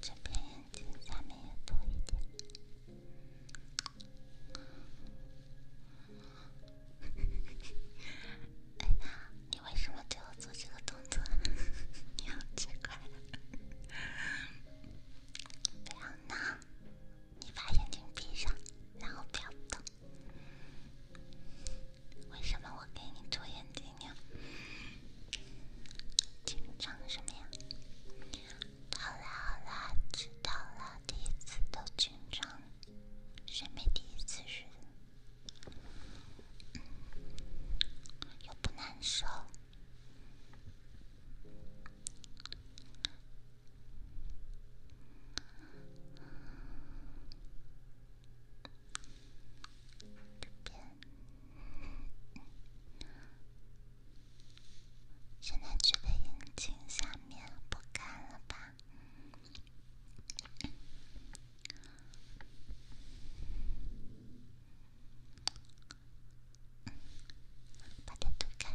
这边眼睛下面多一点。哎呀，你为什么对我做这个动作？你好奇怪。不要闹！你把眼睛闭上，然后不要动。为什么我给你做眼睛呢？紧张什么呀？好啦好啦，知道了，第一次都紧张，谁没第一次是？又不难受。这边，现在觉得眼睛下面不干了吧？把它涂开。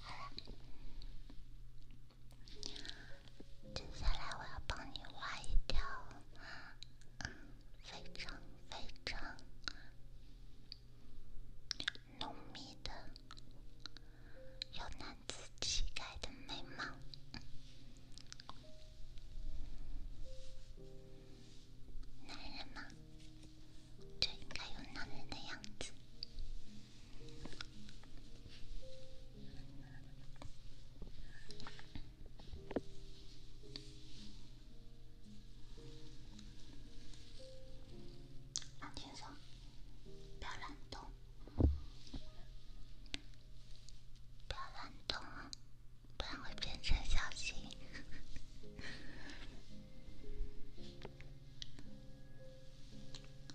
好了，接下来我要帮你画一条非常非常浓密的、有男子气概的眉毛。男人嘛，就应该有男人的样子。很轻松，不要乱动，不要乱动啊，不然会变成小熊。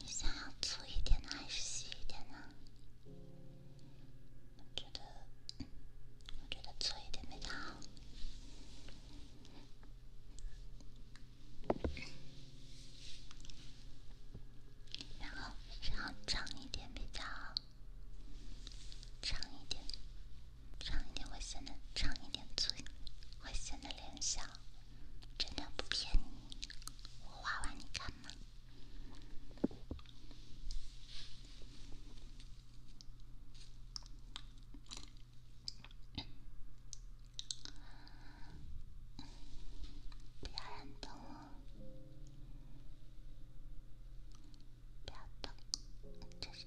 你想要粗一点呢，还是细一点呢？我觉得，我觉得粗一点比较好。然后，然后长一点比较好，长一点。长一点会显得长一点嘴，会显得脸小。真的不骗你，我画完你看嘛。不要乱动哦，不要动，这是。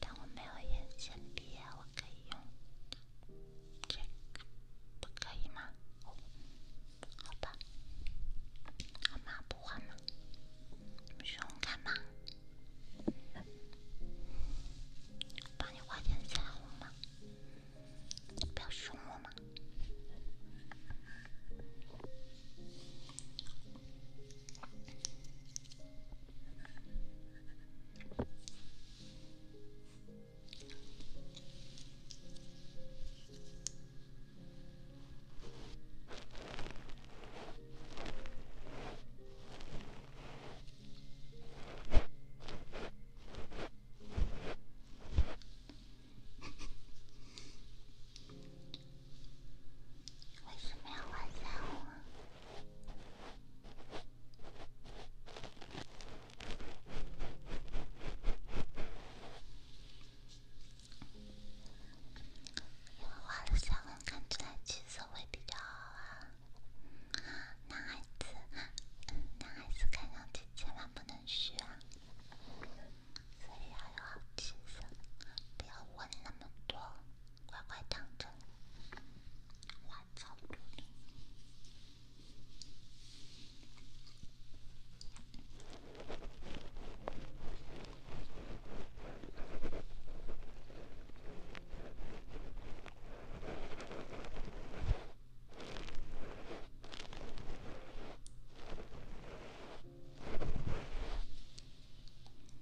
但我没有眼线笔，我可以用这个，不可以吗？好吧，好嘛，不画嘛？凶我吗？帮你画点腮红吗？不要凶我吗？为什么要玩脏画？因为画了腮红，看起来气色会比较好啊。男孩子，男孩子看上去千万不能虚啊，所以要有好气色，不要问那么多。乖乖躺着，花草如林。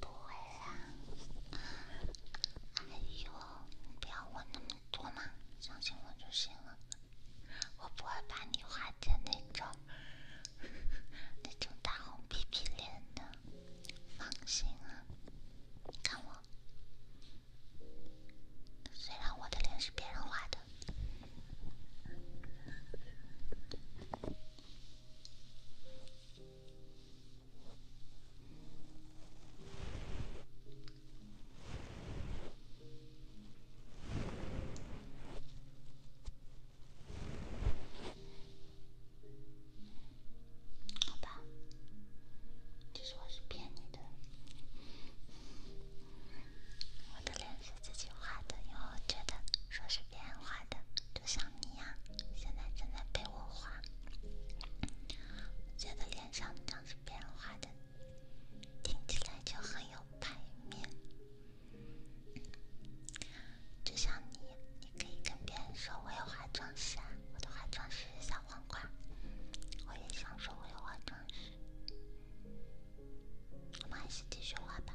不会啊，哎呦，不要问那么多嘛，相信我就行了。我不会把你画成那种那种大红皮皮脸的，放心啊。你看我，虽然我的脸是别人画的。好吧，其实我是骗你的，我的脸是自己画的，因为我觉得说是别人画的。就像你呀，现在正在被我画。我觉得脸上这样子别人画的，听起来就很有排面。就像你，你可以跟别人说，我有化妆师，啊’，我的化妆师是小黄瓜。我也想说，我有化妆师。我们还是继续画吧。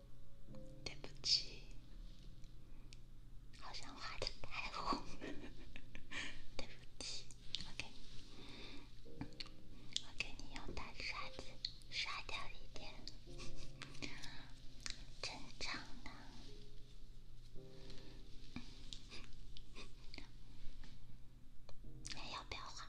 对不起，好像画的太红，对不起，我给你，我给你用大刷子刷掉一点，正常的，还 要不要画？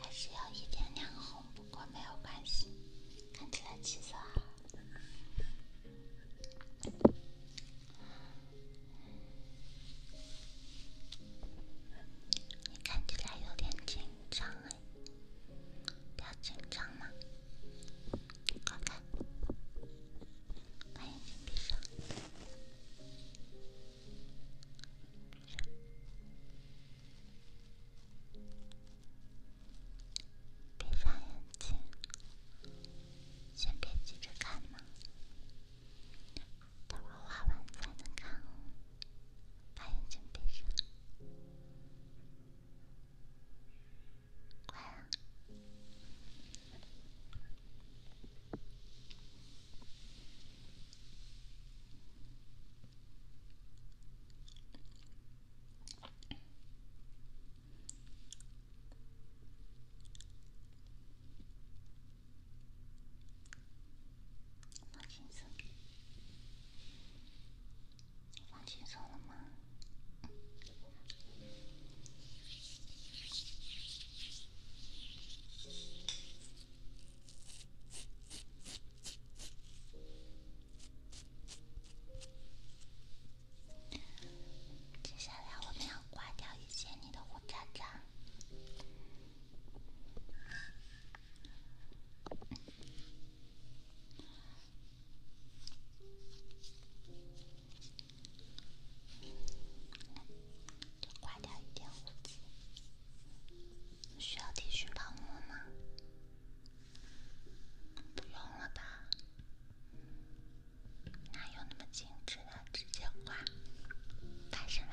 还是要一点点红，不过没有关系，看起来气色好。你看起来有点紧张哎，不要紧张嘛，快看，眼睛闭上。闭上眼睛，先别急着看嘛，等我画完才能看。哦。把眼睛闭上，乖啊。放心走，你放心走了吗？接下来我们要刮掉一些你的胡渣渣，刮掉一点胡子。需要剃须泡沫吗？不用了吧？哪有那么精致的？直接挂，干什么？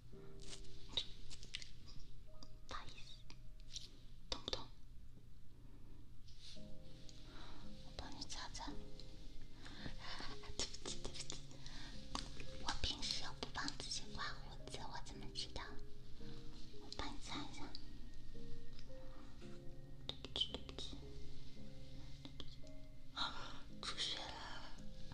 不好意思，懂不懂？我帮你擦擦。对不起对不起，我平时又不帮自己刮胡子，我怎么知道？我帮你擦一下。对不起对不起对不起，出血了。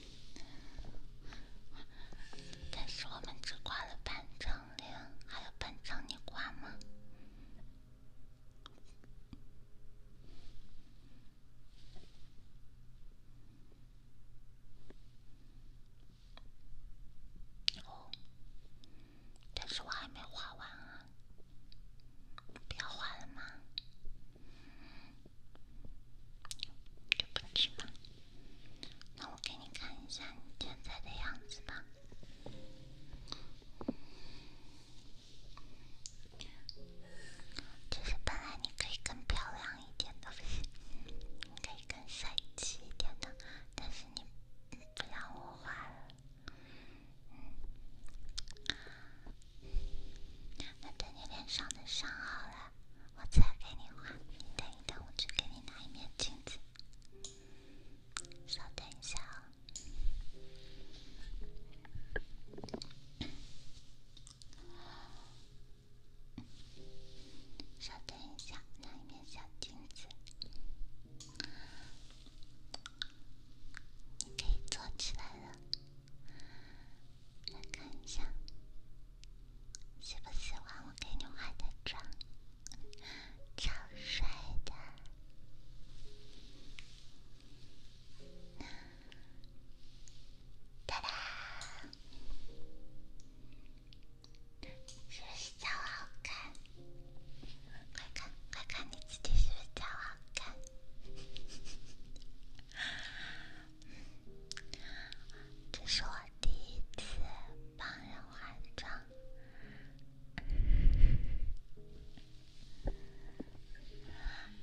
但是我们只挂了半张脸，还有半张你挂吗？哦，但是我还没画完啊！不要画了吗？对不起。了。那我给你看一下你现在的样子吧。就是本来你可以更漂亮一点的，可以更帅气一点的，但是你不让我画了，那对你脸上的伤害。我再给你画，你等一等，我去给你拿一面镜子。稍等一下啊，稍等一下，拿一面小镜子，你可以坐起来了，来看一下。喜不喜欢我给你化的妆？超帅的！哒哒！是不是超好看？快看，快看你自己是不是超好看？这是我第一次帮人化妆，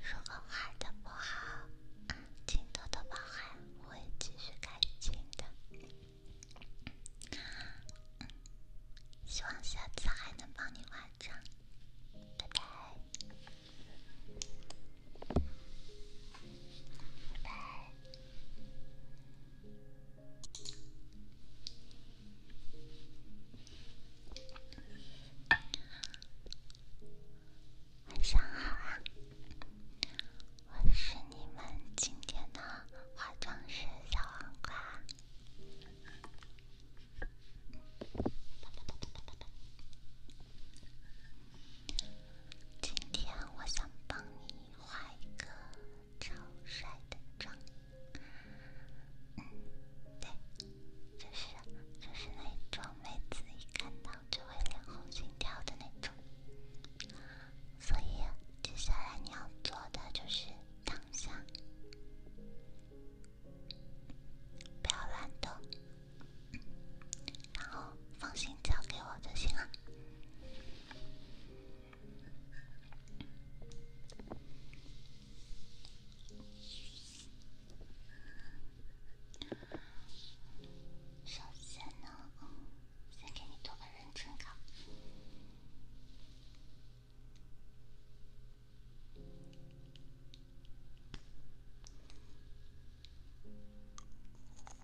如果画的不好，请多多包涵，我会继续改进的。希望下次还能帮你化妆，拜拜。晚上好啊！我是你们今天的化妆师小红瓜。今天我想帮你。画一个超帅的妆，嗯，对，就是就是那种每次一看到就会脸红心跳的那种。所以接下来你要做的就是躺下，不要乱动，然后放心交给我就行了。首先呢，先给你做个认真稿。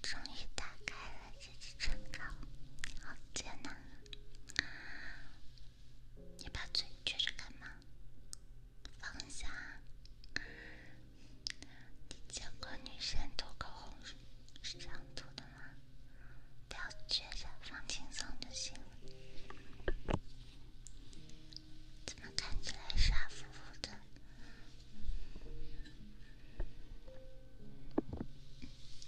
终于打开了这只唇膏，好艰难。你把嘴撅着干嘛？放下。你见过女生涂口红是这样涂的吗？不要撅着，放轻松就行了。怎么看起来傻乎乎的？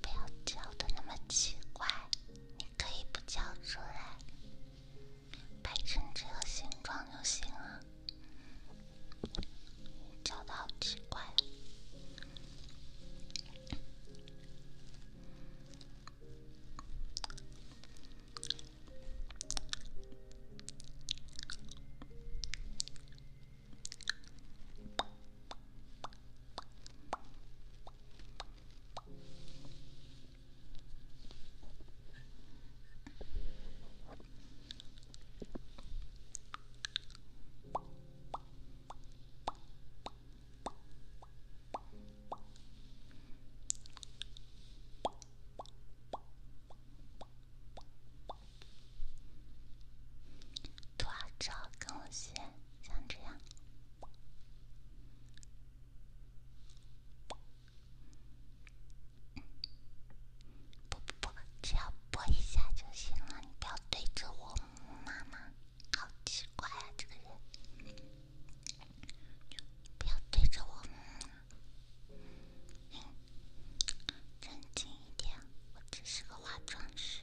不要嚼的那么奇怪，你可以不嚼出来，摆成这个形状就行了。嚼的好奇怪。短照更新。像这样，不不不，只要啵一下就行了。不要对着我，妈妈，好奇怪啊，这个人，不要对着我，冷静一点，我只是个化妆师。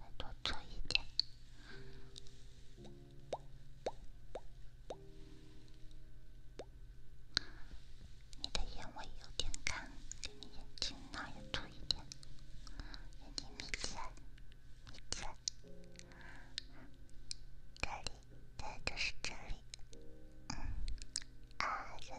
再多涂一点，你的眼尾有点干，给你眼睛那也涂一点，眼睛眯起来，眯起来，这里，对，就是这里，嗯，啊，行。